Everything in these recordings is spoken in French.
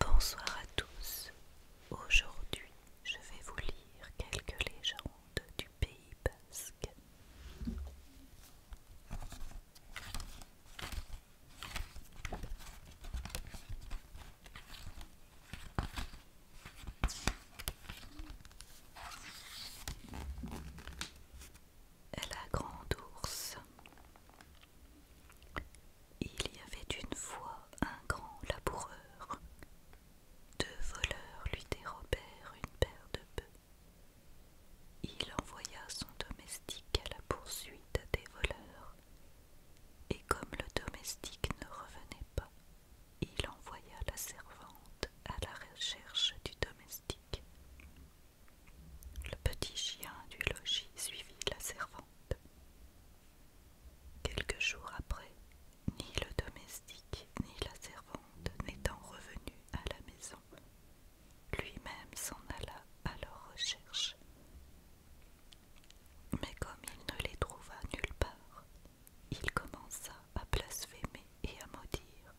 Bonsoir à tous. Aujourd'hui, je vais vous lire quelques légendes du Pays basque. La grande ours. Il y avait une fois un grand laboureur. Deux voleurs lui dérobèrent une paire de bœufs. Il envoya son domestique à la poursuite des voleurs. Et comme le domestique ne revenait pas, il envoya la servante à la recherche du domestique. Le petit chien du logis suivit la servante. Quelques jours après, ni le domestique ni la servante n'étant revenus à la maison, lui-même s'en alla à leur recherche. Mais comme il ne les trouva nulle part, il commença à blasphémer et à maudire,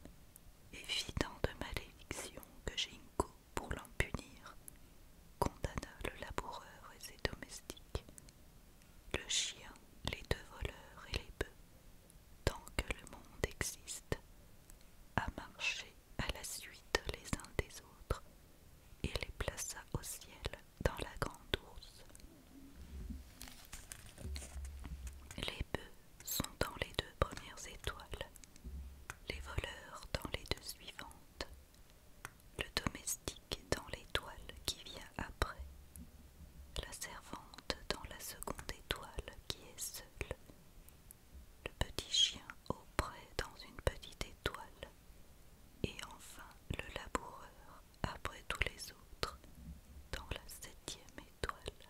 évident de malédiction que Jinko, pour l'en punir, condamna le laboureur et ses domestiques, le chien, les deux voleurs et les bœufs, tant que le monde existe, à marcher à la suite les uns des autres et les plaça au ciel dans la grande ours. Les bœufs sont dans les deux premières étoiles, les voleurs dans les deux suivantes, le domestique dans l'étoile qui vient après, la servante dans la seconde étoile qui est seule, le petit chien auprès dans une petite étoile, et enfin le laboureur après tous les autres dans la septième étoile.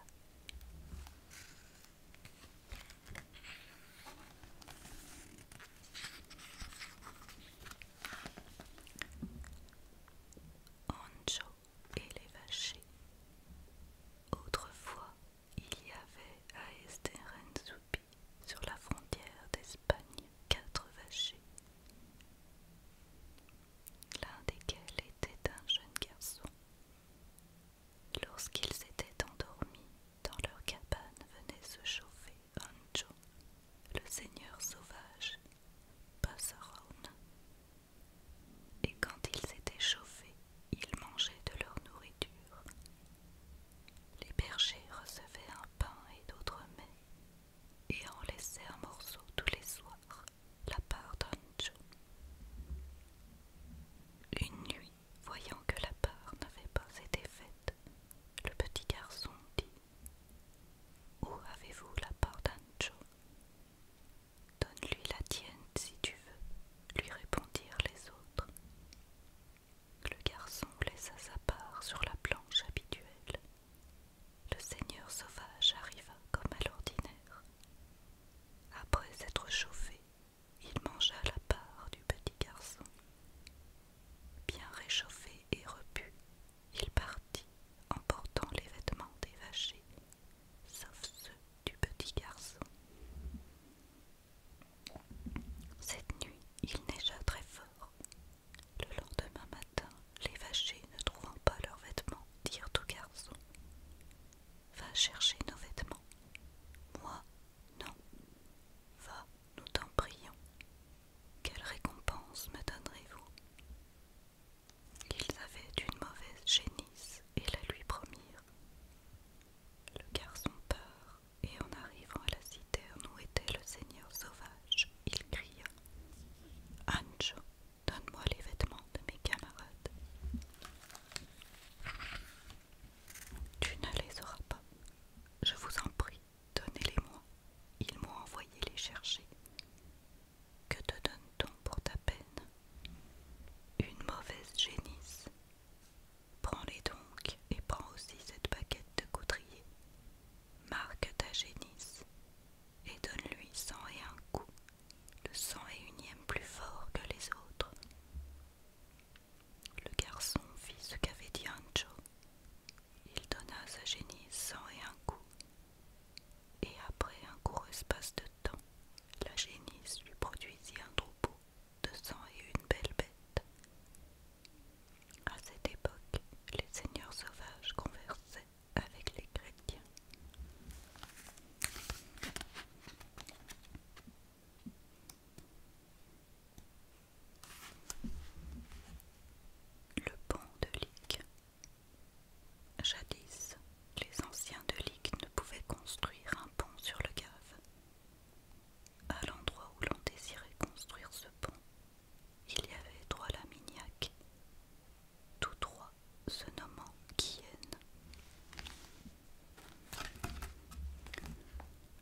Anjo et les vachés Autrefois, il y avait à Esterenzoupi, sur la frontière d'Espagne, quatre vachers, l'un desquels était un jeune garçon. Lorsqu'ils étaient endormis, dans leur cabane venait se chauffer Anjo, le seigneur sauvage, Passaron. Et quand ils s'étaient chauffés, ils mangeaient de leur nourriture. Les bergers recevaient un pain et d'autres mets, et en laissaient un morceau tous les soirs, la part d'Ancho. Une nuit, voyant que la part n'avait pas été faite, le petit garçon dit Où avez-vous la part d'Ancho Donne-lui la tienne si tu veux, lui répondirent les autres. Le garçon laissa sa part sur la planche habituelle. Le seigneur sauvage arriva comme à l'ordinaire. Après s'être chauffé, il mangea la part du petit garçon. Bien réchauffé et repu, il partit en portant les vêtements des vachers, sauf ceux du petit garçon. Cette nuit, il neigea très fort. Le lendemain matin, les vachers, ne trouvant pas leurs vêtements, dirent au garçon Va chercher nos vêtements. Moi, non. Va, nous t'en prions. Quelle récompense me donnerez-vous Ils avaient une mauvaise génisse et la lui promirent. Le garçon part, et en arrivant à la citerne où était le seigneur sauvage, il cria Anjo, donne-moi les vêtements de mes camarades. Tu ne les auras pas. Je vous en prie, donnez-les-moi. Ils m'ont envoyé les chercher. Que te donne-t-on pour ta peine Une mauvaise génisse. Prends-les donc et prends aussi cette baguette de coutrier. »« Marque ta génisse et donne-lui cent et un coup, le cent et unième plus fort que les autres. Le garçon fit ce qu'avait dit Ancho. Il donna à sa génisse cent et un coups, et après un court espace de temps, la génisse lui produisit un troupeau de cent et une belles bêtes. À cette époque, les seigneurs sauvages conversaient avec les chrétiens. Le pont de Lyc. Jadis, les anciens de Ligue ne pouvaient construire un pont sur le Gave. À l'endroit où l'on désirait construire ce pont, il y avait trois laminiacs tous trois se nommant Kien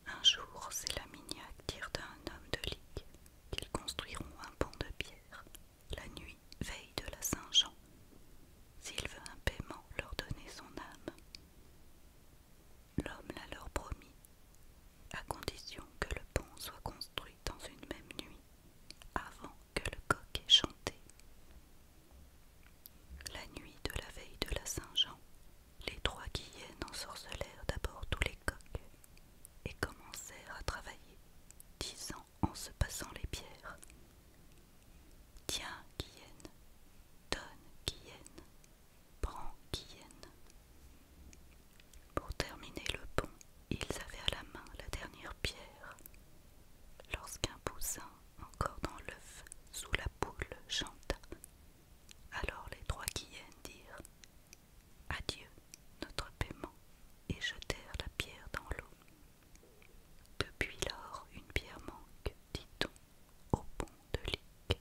Un jour, ces laminiacs dirent à un homme de Ligue qu'ils construiront un pont de pierre la nuit veille de la Saint-Jean, s'il veut un paiement leur donner son âme. L'homme l'a leur promis, à condition que le pont soit construit dans une même nuit, avant que le coq ait chanté. La nuit de la veille de la Saint-Jean, les trois guillennes ensorcelèrent d'abord tous les coqs et commencèrent à travailler, ans en se passant les pierres. Tiens, Guyenne, donne, Guyenne, prends, Guyenne. Pour terminer le pont, ils avaient à la main la dernière pierre. Lorsqu'un poussin, encore dans l'œuf, sous la poule, chanta, alors les trois Guyennes dirent Adieu, notre paiement, et jetèrent la pierre dans l'eau. Depuis lors, une pierre manque, dit-on, au pont de Lic.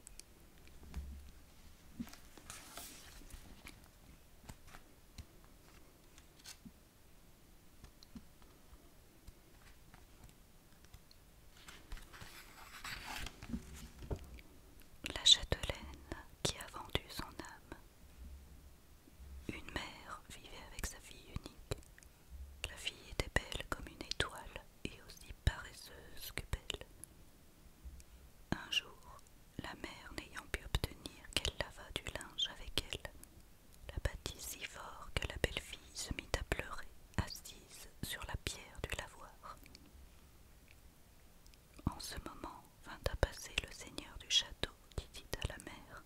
La châtelaine qui a vendu son âme. Une mère vivait avec sa fille unique. La fille était belle comme une étoile et aussi paresseuse que belle. Un jour, la mère n'ayant pu obtenir qu'elle lavât du linge avec elle, la battit si fort que la belle fille se mit à pleurer, assise sur la pierre du lavoir. En ce moment vint à passer le seigneur du château à la mère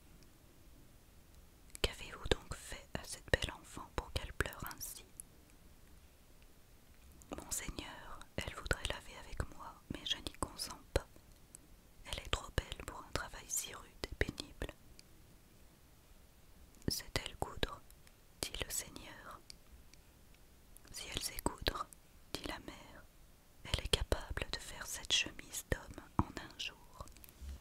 Qu'avez-vous donc fait à cette belle enfant pour qu'elle pleure ainsi Monseigneur, elle voudrait laver avec moi, mais je n'y consens pas. Elle est trop belle pour un travail si rude et pénible. C'est elle coudre, dit le Seigneur. Si elle sait coudre, dit la mère, elle est capable de faire cette chemise d'homme en un jour.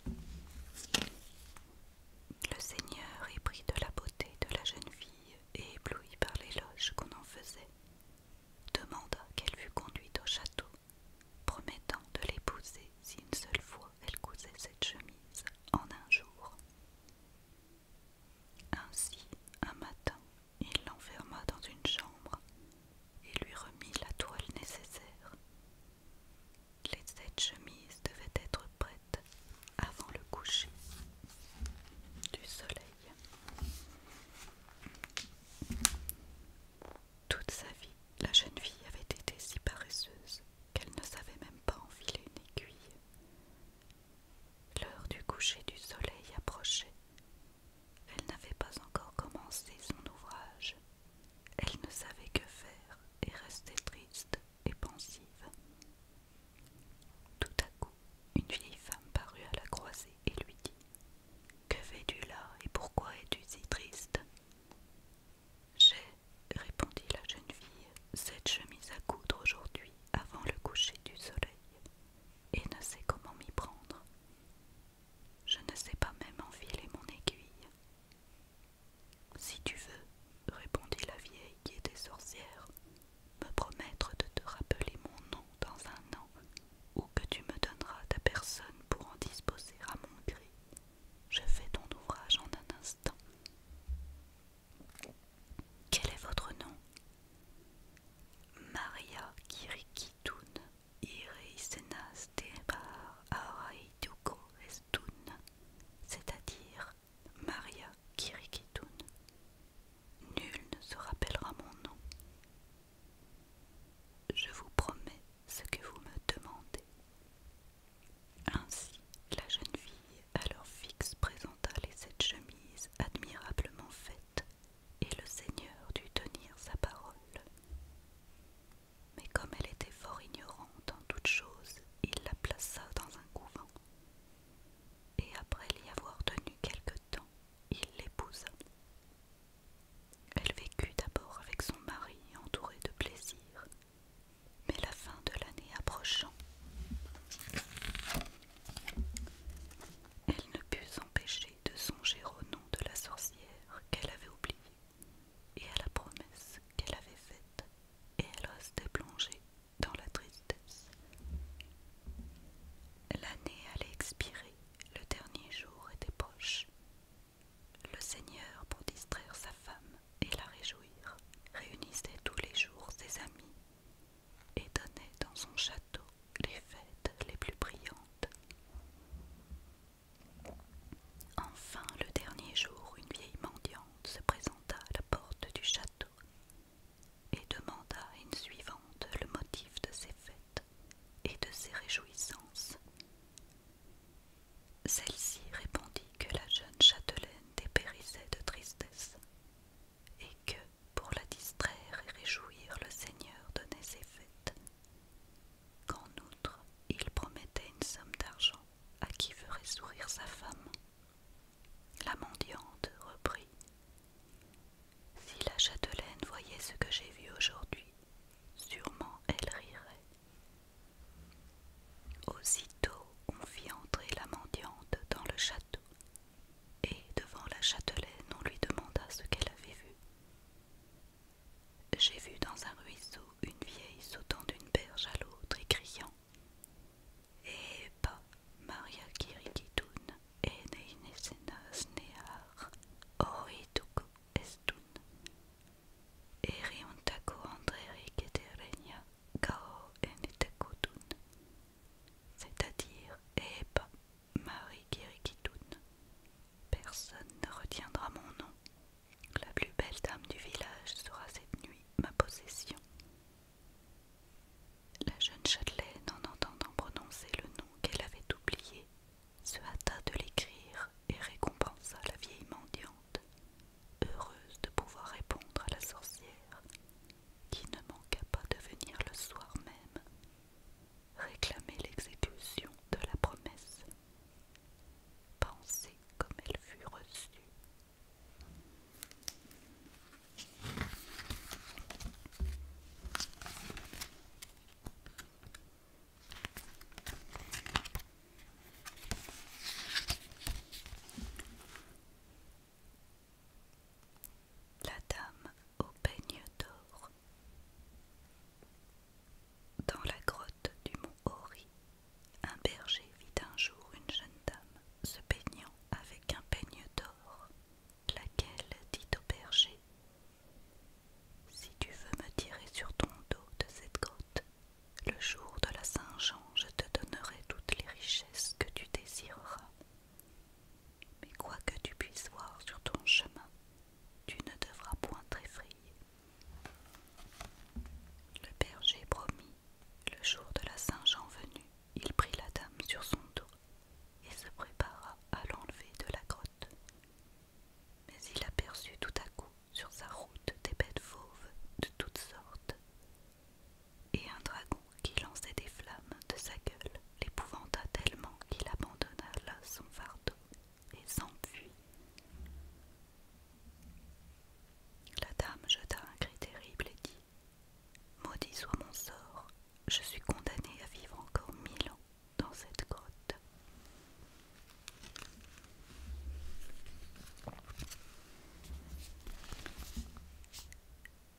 Le Seigneur épris de la beauté de la jeune fille et ébloui par l'éloge qu'on en faisait, demanda qu'elle fût conduite au château, promettant de l'épouser si une seule fois elle cousait cette chemise en un jour. Ainsi, un matin, il l'enferma dans une chambre et lui remit la toile nécessaire. Les sept chemises devaient être prêtes avant le coucher du soleil. Toute sa vie, la jeune fille avait été si paresseuse qu'elle ne savait même pas enfiler une aiguille. L'heure du coucher du soleil approchait elle n'avait pas encore commencé son ouvrage. Elle ne savait que faire et restait triste et pensive. Tout à coup, une vieille femme parut à la croisée et lui dit Que fais-tu là et pourquoi es-tu si triste J'ai, répondit la jeune fille, cette chemise à coudre aujourd'hui avant le coucher du soleil et ne sais comment m'y prendre. Je ne sais pas même enfiler mon aiguille. Si tu veux, répondit la vieille qui était sorcière, me promettre de te rappeler mon nom dans un an, ou que tu me donneras ta personne pour en disposer à mon gré. Je fais ton ouvrage en un instant. Quel est votre nom Maria kirikitun ire duko estun, c'est-à-dire Maria kirikitun. Nul ne se rappellera mon nom. Je vous promets ce que vous me demandez. Ainsi, la jeune fille à alors fixe présenta les sept chemises admirablement faites, et le Seigneur dut tenir sa parole. Mais comme elle était fort ignorante en toutes choses, il la plaça dans un couvent. Et après l'y avoir tenue quelque temps, il l'épousa. Elle vécut d'abord avec son mari entourée de plaisirs, mais la fin de l'année approchant, elle ne put s'empêcher de songer au nom de la sorcière qu'elle avait oubliée et à la promesse qu'elle avait faite, et elle restait plongée dans la tristesse. L'année allait expirer, le dernier jour était proche. Le Seigneur, pour distraire sa femme et la réjouir, réunissait tous les jours ses amis et donnait dans son château les fêtes les plus brillantes. Enfin, le dernier jour, une vieille mendiante se présenta à la porte du château et demanda à une suivante le motif de ses fêtes et de ses réjouissances. Celle-ci répondit que la jeune châtelaine dépérissait de tristesse et que, pour la distraire et réjouir le seigneur donnait ses fêtes, qu'en outre il promettait une somme d'argent à qui ferait sourire sa femme. La mendiante reprit Si la châtelaine voyait ce que j'ai vu aujourd'hui, sûrement elle rirait. Aussitôt on fit entrer la mendiante dans le château et devant la châtelaine on lui demanda ce qu'elle avait vu. J'ai vu dans un ruisseau une vieille sautant d'une berge à l'autre et criant Eh pas, Maria Kirikitoun, Eneinesenas eh, Nehar, Oituku Estun, Eriuntaku Andreri Keterenia, Kao Enetekutun, c'est-à-dire Eba eh ben, Marie Kirikitoun. Personne ne retiendra mon nom. La plus belle dame du village sera cette nuit ma possession. La jeune châtelaine, en entendant prononcer le nom qu'elle avait oublié, se hâta de l'écrire et récompensa la vieille mendiante, heureuse de pouvoir répondre à la sorcière qui ne manqua pas de venir le soir même réclamer l'exécution de la promesse. Pensez comme elle fut reçue. La dame au peigne d'or. Dans la grotte du mont Hori, un berger vit un jour une jeune dame se peignant avec un peigne d'or, laquelle dit au berger Si tu veux me tirer sur ton dos de cette grotte, le jour de la Saint-Jean, je te donnerai toutes les richesses que tu désireras. Mais quoi que tu puisses voir sur ton chemin, tu ne devras point t'effrayer. Le berger promit, le jour de la Saint-Jean venue, il prit la dame sur son dos et se prépara à l'enlever de la grotte. Mais il aperçut tout à coup sur sa route des bêtes fauves de toutes sortes, et un dragon qui lançait des flammes de sa gueule l'épouvanta tellement qu'il abandonna là son fardeau et s'enfuit. La dame jeta un cri terrible et dit Maudit soit mon sort, je suis condamnée à vivre encore mille ans dans cette grotte.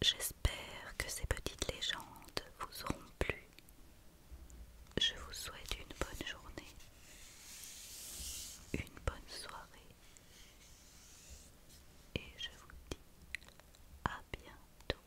J'espère que ces petites légendes vous auront plu. Je vous souhaite une bonne journée, une bonne soirée et je vous dis à bientôt.